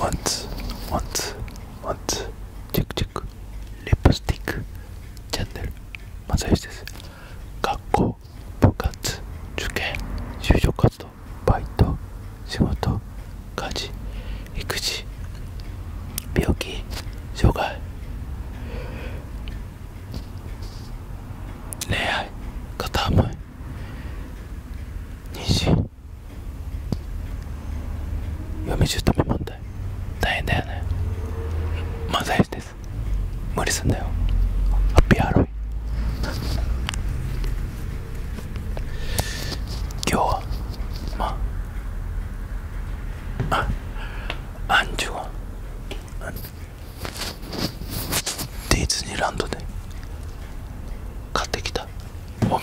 Once, once, once. チェックチェック。リップスティック。チャンネル。まさよしです。学校、部活、受験、就職活動、バイト、仕事、家事、育児、病気、障害、恋愛、片思い、妊娠嫁住民問題大変だよね漫才師です無理すんだよハッピーハロウィン今日はまああアンジュがディズニーランドで買ってきたお土産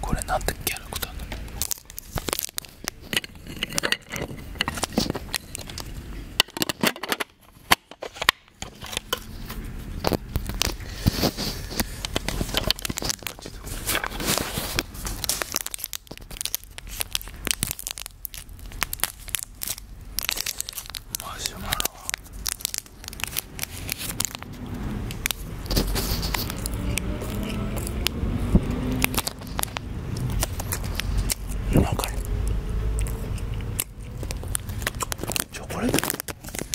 これなんてキャラクターなのマシュマロチョコレート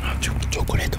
あチョコレート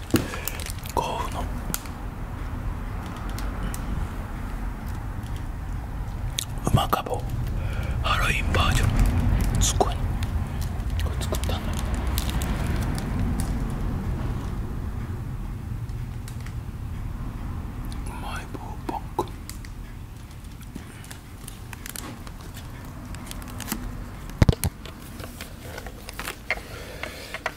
甲府の馬かぼハロウィンバージョンすごいこれ作ったんだうまい棒パック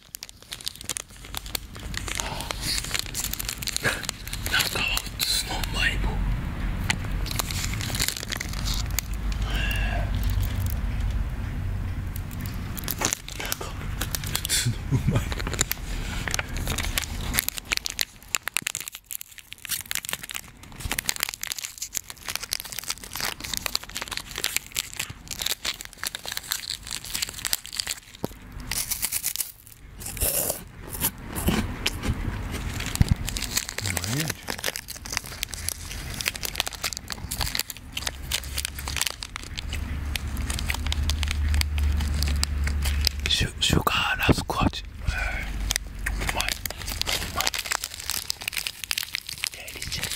中は普通のうまい棒中は普通のうまい棒シュシュガーラスク味、えー、うまいうまいデリシャス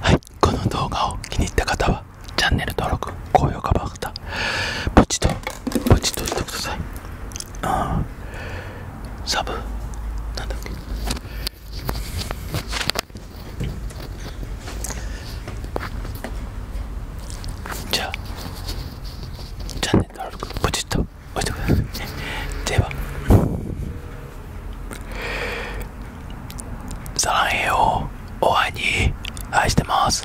はいこの動画を気に入った方はチャンネル登録高評価番かたポチッとポチッとしてくださいあサブなんだっけじゃあチャンネポチッと押してください、ではサランヘヨお会いに愛してます